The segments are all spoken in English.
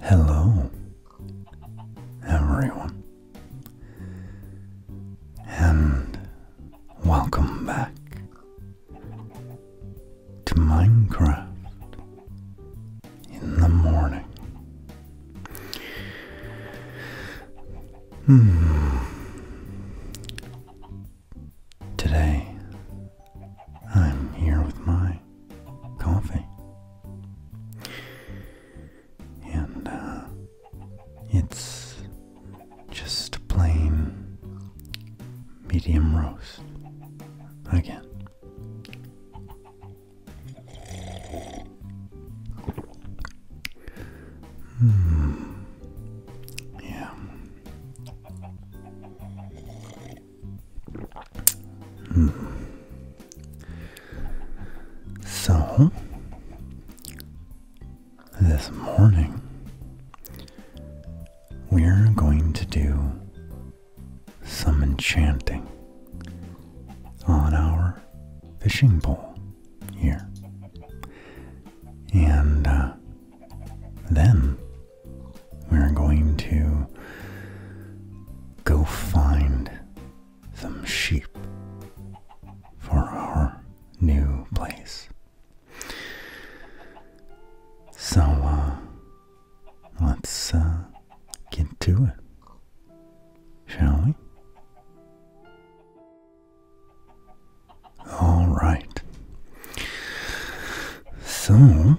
Hello, everyone, and welcome back to Minecraft in the morning. Hmm. Today, I'm here with my coffee. And uh, it's just a plain medium roast. Again. Hmm. Yeah. Mm. So, this morning, we're going to do some enchanting on our fishing pole here. And uh, then we're going to go find some sheep for our new place. So, uh, let's uh, get to it, shall we? All right. So,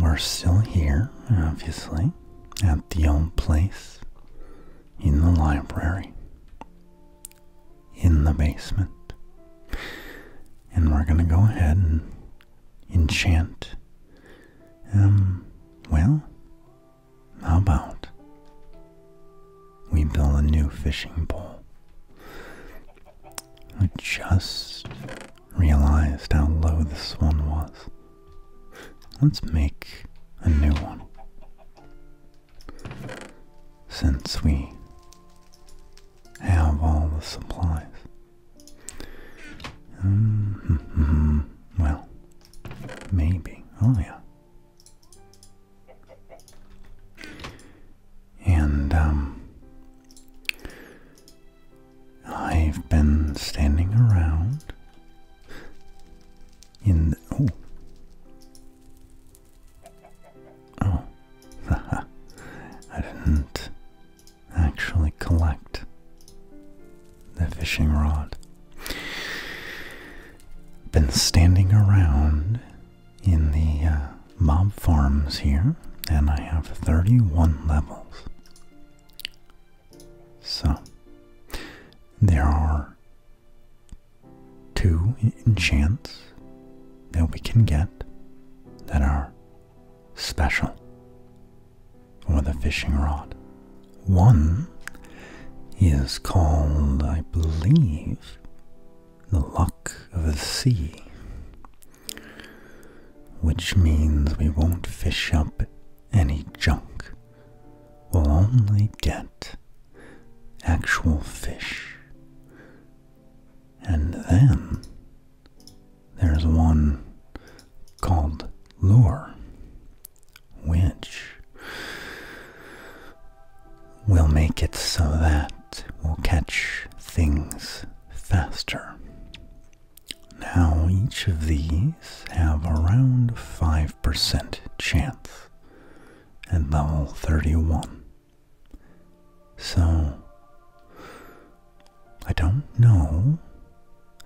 we're still here, obviously, at the old place in the library, in the basement. And we're going to go ahead and enchant, um, well, how about we build a new fishing pole? I just realized how low this one was. Let's make a new one. Since we have all the supplies. Mm-hmm, mm-hmm. Well, maybe. Oh, yeah. And um, I've been standing around in the, oh. Oh, I didn't actually collect the fishing rod. Been standing around in the uh, mob farms here, and I have 31 levels. So, there are two enchants that we can get that are special, for the fishing rod one is called, I believe, the luck of the sea, which means we won't fish up any junk. We'll only get actual fish. And then there's one called lure, which will make it so that we'll catch things faster. Now, each of these have around 5% chance at level 31. So, I don't know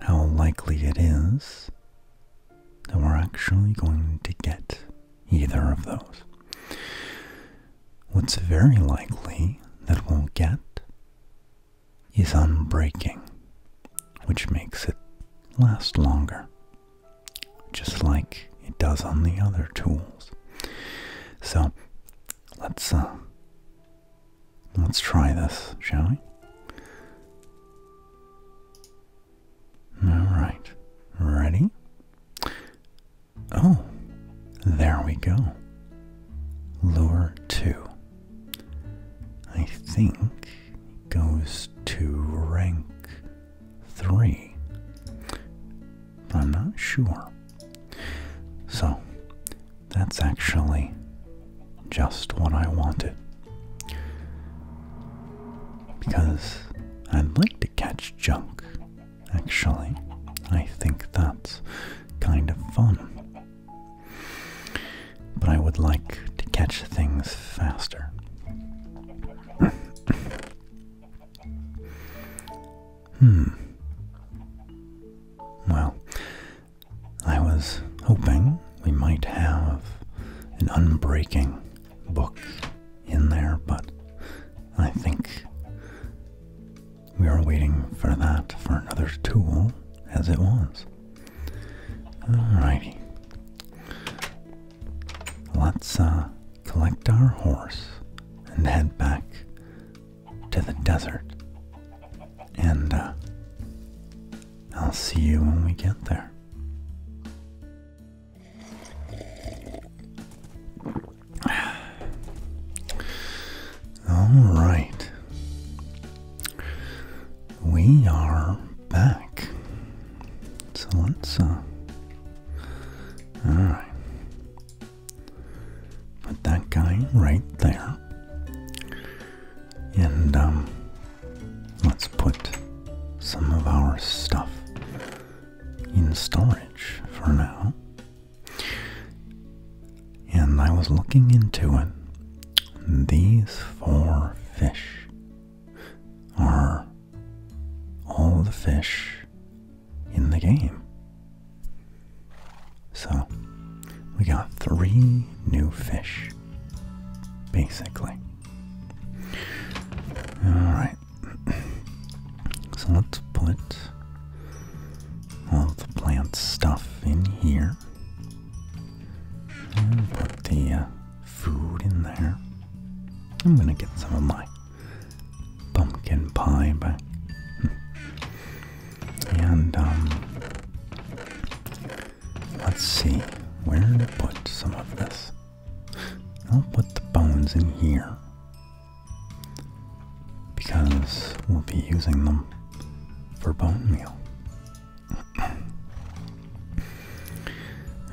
how likely it is that we're actually going to get either of those. What's very likely that we'll get is unbreaking, which makes it last longer, just like it does on the other tools. So let's uh, let's try this, shall we? All right, ready? Oh, there we go. Lure 2. I think goes to rank 3. I'm not sure. So, that's actually just what I wanted. Because I'd like to catch junk, actually. I think that's kind of fun. But I would like to catch things faster. hmm. Well, I was hoping we might have an unbreaking book in there, but I think we are waiting for that for another tool as it was. All righty, Let's uh, collect our horse and head back to the desert and uh, I'll see you when we get there. All right. We are back. So let's, uh, all right. Put that guy right there and um, let's put some of our stuff in storage for now. And I was looking into it. These four fish are all the fish in the game. So we got three new fish basically. Alright, so let's put all the plant stuff in here. And put the uh, food in there. I'm gonna get some of my pumpkin pie back. and, um, Let's see where to put some of this. I'll put the bones in here because we'll be using them for bone meal.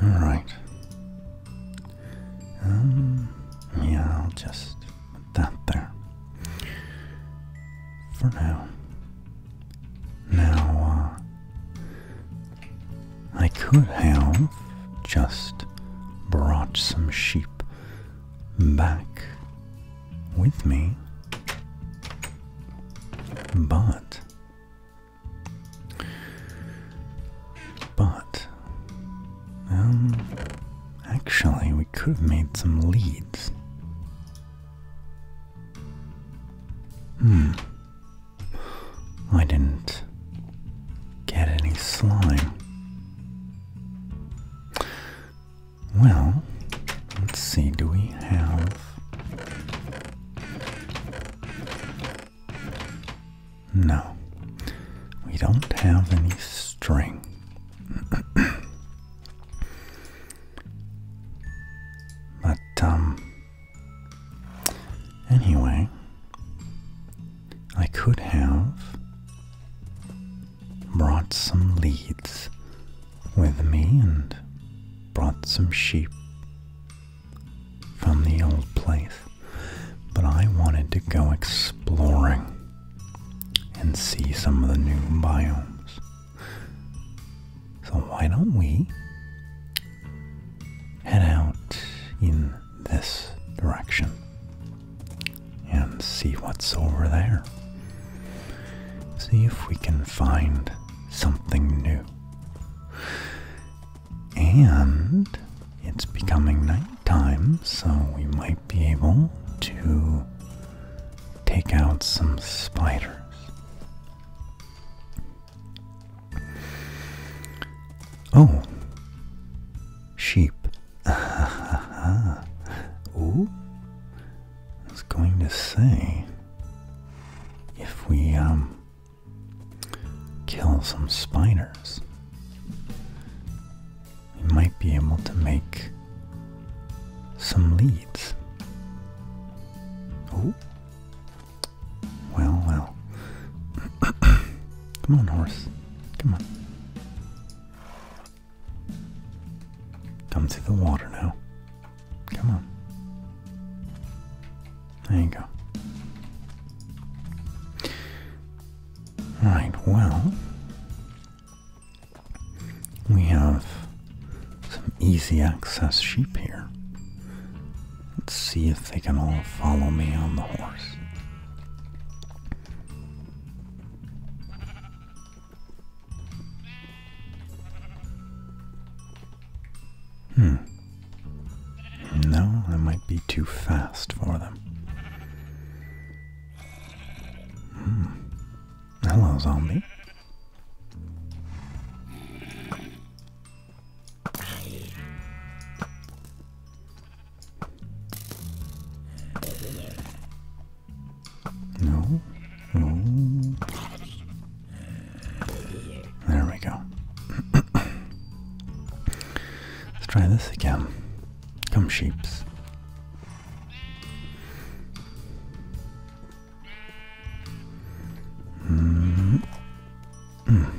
All right. Um, yeah, I'll just put that there. For now, now, uh, I could have just brought some sheep back with me, but, but, um, actually, we could have made some leads Hmm. I didn't get any slime. Well, let's see, do we have. No, we don't have any string. Hmm. But, um, anyway, I could have brought some leads with me and brought some sheep from the old place, but I wanted to go exploring and see some of the new biomes. So why don't we head out in this direction and see what's over there? See if we can find something new. And it's becoming nighttime, so we might be able to take out some spiders. Oh, sheep. Ooh, I was going to say if we um, kill some spiders, we might be able to make some leaves. Oh. Well, well. Come on, horse. Come on. Come to the water now. Come on. There you go. Right, well, we have some easy access sheep here. Let's see if they can all follow me on the horse. Hmm. No, I might be too fast for them. Hmm. Hello, zombie. No, no. There we go. Let's try this again. Come sheeps. Mm.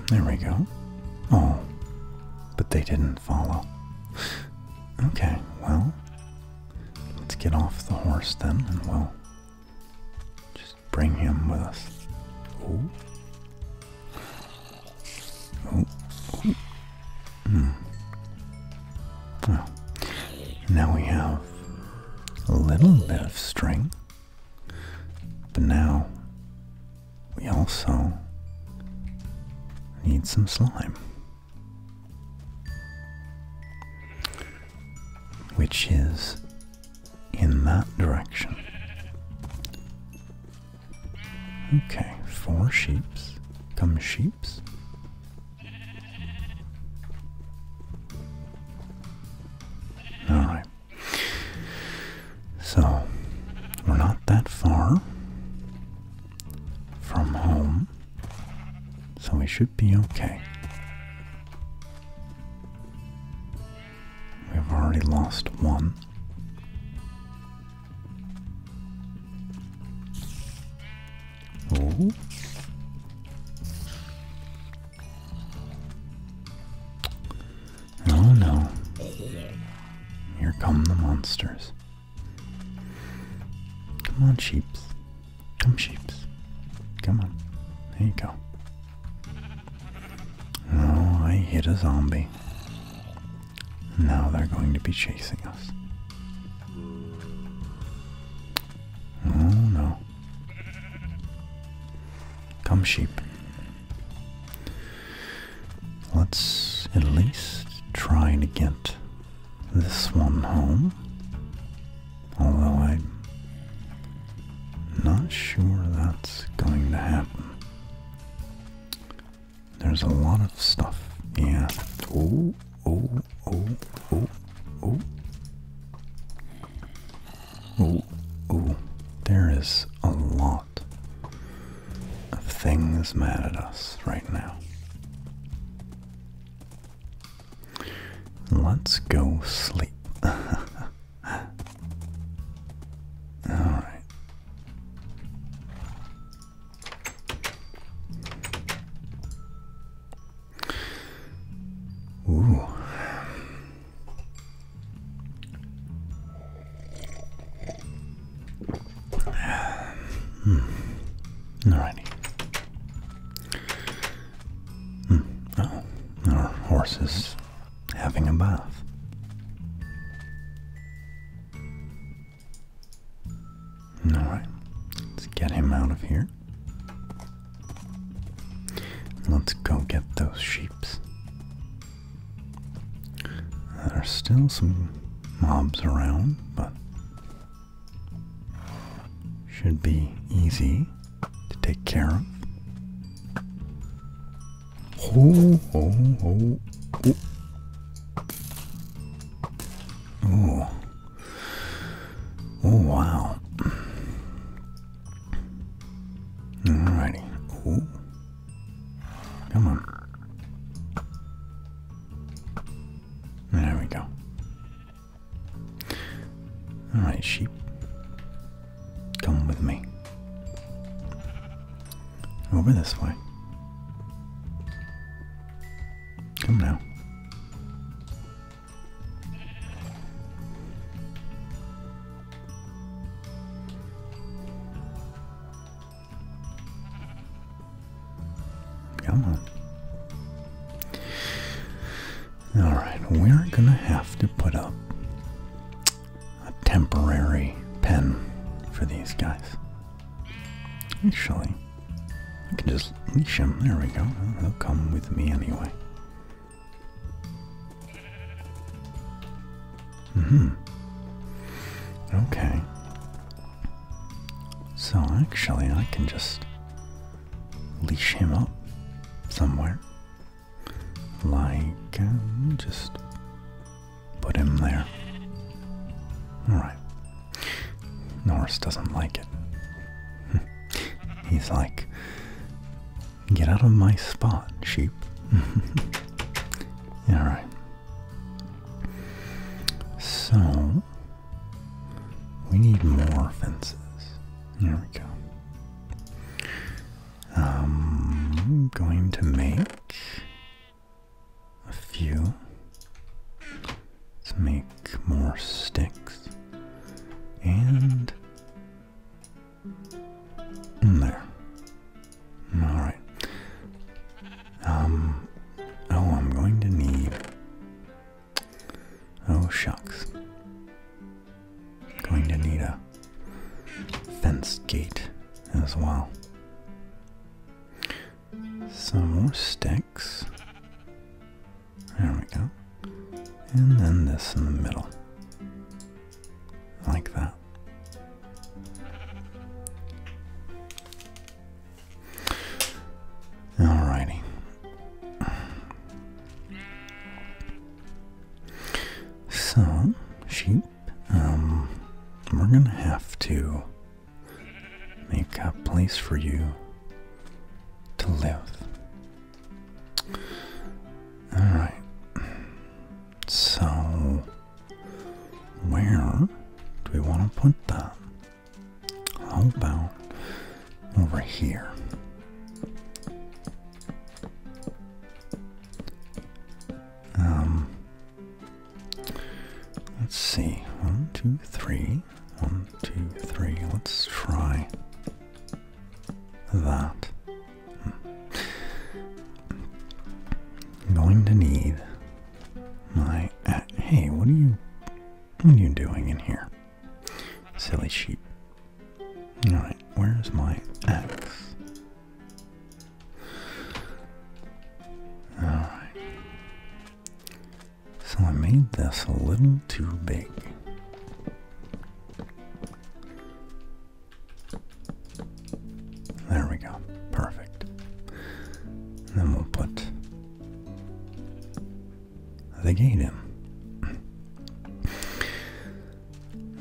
There we go. Oh, but they didn't follow. Okay, well, let's get off the horse then and we'll just bring him with us. Oh. Ooh. Ooh. Hmm. now we have a little bit of string, but now we also need some slime, which is in that direction. Okay, four sheeps come sheeps. All right. So, we're not that far from home, so we should be okay. We've already lost one. Oh. no. Here come the monsters. Come on, sheeps. Come, sheeps. Come on. There you go. Oh, I hit a zombie. Now they're going to be chasing us. Oh no. Come sheep. Let's at least try and get this one home. Although I'm not sure that's going to happen. There's a lot of stuff. Yeah. Oh. Oh, oh, oh, oh. Oh, oh. There is a lot of things mad at us right now. Let's go sleep. Alright. Ooh. Hmm. Alrighty. Hmm. Oh, our horse is having a bath. Alright, let's get him out of here. Let's go get those sheeps. There are still some mobs around, but should be easy to take care of. Oh, oh, oh, oh. Oh, wow. Alrighty. Ooh. Come on. There we go. Alright, sheep. Come with me. Over this way. Come now. Come on. Alright, we're gonna have to put up a temporary pen for these guys. Actually, I can just leash him. There we go. He'll come with me anyway. Mm-hmm. Okay. So actually I can just leash him up somewhere. Like, um, just put him there. Alright. Norris doesn't like it. He's like, Get out of my spot, sheep. Alright. So, we need more fences. There we go. I'm um, going to make a few. Let's make more sticks. And there. Alright. Um oh I'm going to need Oh shucks. I'm going to need a fence gate as well some more sticks. There we go. And then this in the middle. Like that. Alrighty. So, sheep, um, we're gonna have to make a place for you to live. Alright. So, where do we want to put that? How about over here? Um, let's see. One, two, three. One, two, three. Let's try that. I'm hmm. going to need my. hey, what are you? What are you doing in here, silly sheep? All right, where's my ex? All right. So I made this a little too big. There we go. Perfect. then we'll put the gate in.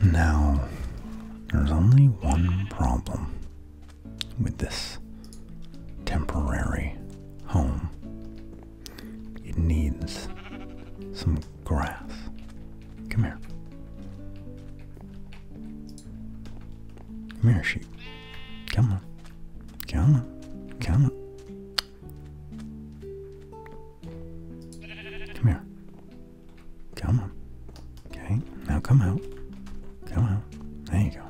Now, there's only one problem with this temporary home. It needs some grass. Come here. Come here, sheep. Come on. Come on. Come on. Come here. Come on. Okay, now come out. Come out. There you go.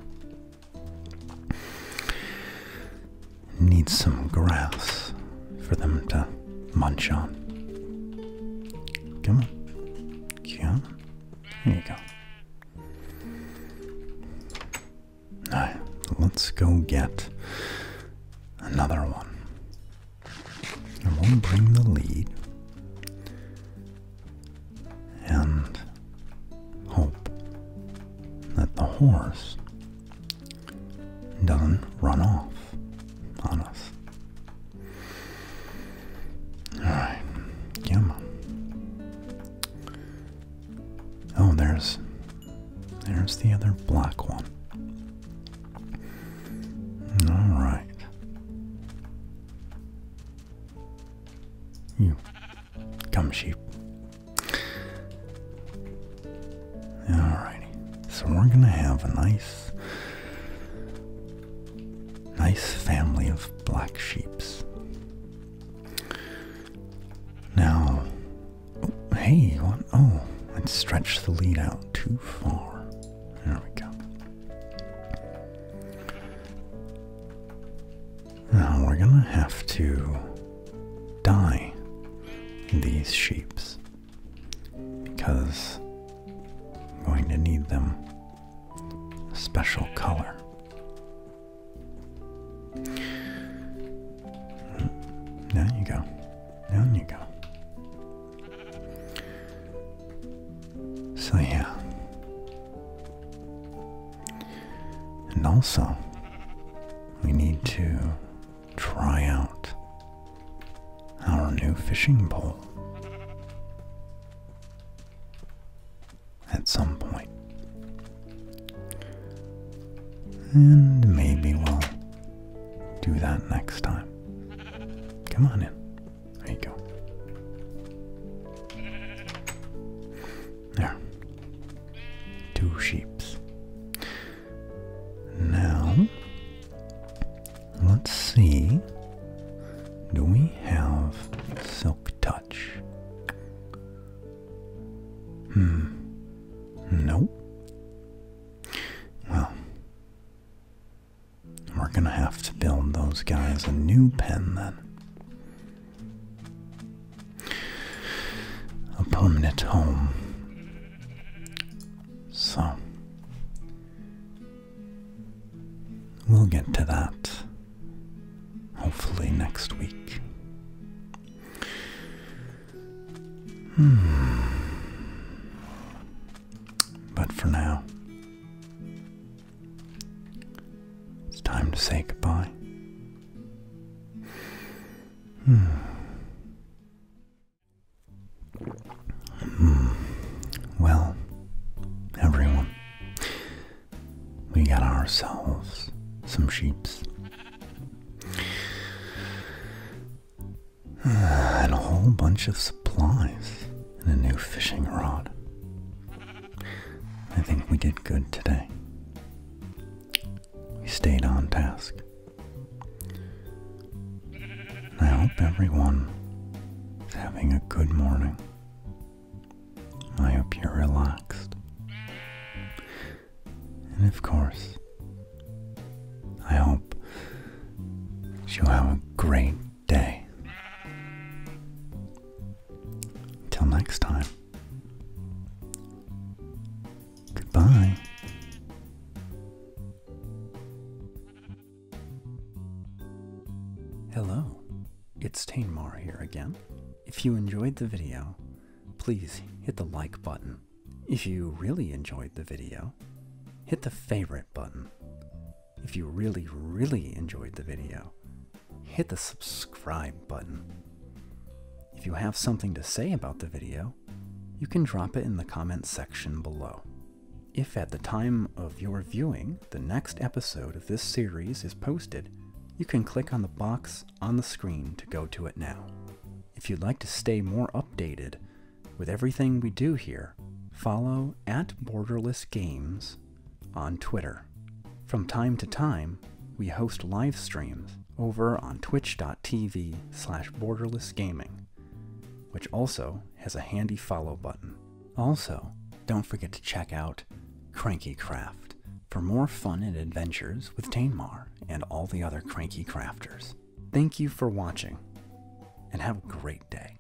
Need some grass for them to munch on. Come on. Yeah. There you go. Alright, let's go get another one. And will bring the lead and hope that the horse doesn't run off on us. Alright, come Oh, there's, there's the other black one. Alright. You Come sheep. Alrighty. So we're gonna have a nice nice family of black sheeps. Now hey, what oh, let's stretch the lead out too far. There we go. Now we're gonna have to dye these sheeps because I'm going to need them special color. Down you go. Down you go. So yeah, and also, we need to try out our new fishing pole at some point. And maybe we'll do that next time. Come on in. There you go. There. Two sheeps. Now, let's see. Do we have silk touch? Hmm. Nope. Well, we're gonna have to build those guys a new pen then a permanent home. So, we'll get to that hopefully next week. Hmm. But for now, it's time to say goodbye. Hmm. Mm. Well, everyone, we got ourselves some sheeps. And a whole bunch of supplies and a new fishing rod. I think we did good today. We stayed on task. I hope everyone is having a good morning. I hope you're relaxed. And of course, I hope you have a great day. Until next time. Goodbye. Hello, it's Tainmar here again. If you enjoyed the video, please hit the like button. If you really enjoyed the video, hit the favorite button. If you really, really enjoyed the video, hit the subscribe button. If you have something to say about the video, you can drop it in the comments section below. If at the time of your viewing, the next episode of this series is posted, you can click on the box on the screen to go to it now. If you'd like to stay more updated with everything we do here, follow at Borderless Games on Twitter. From time to time, we host live streams over on twitch.tv slash borderlessgaming, which also has a handy follow button. Also, don't forget to check out CrankyCraft for more fun and adventures with Tainmar and all the other Cranky Crafters. Thank you for watching, and have a great day.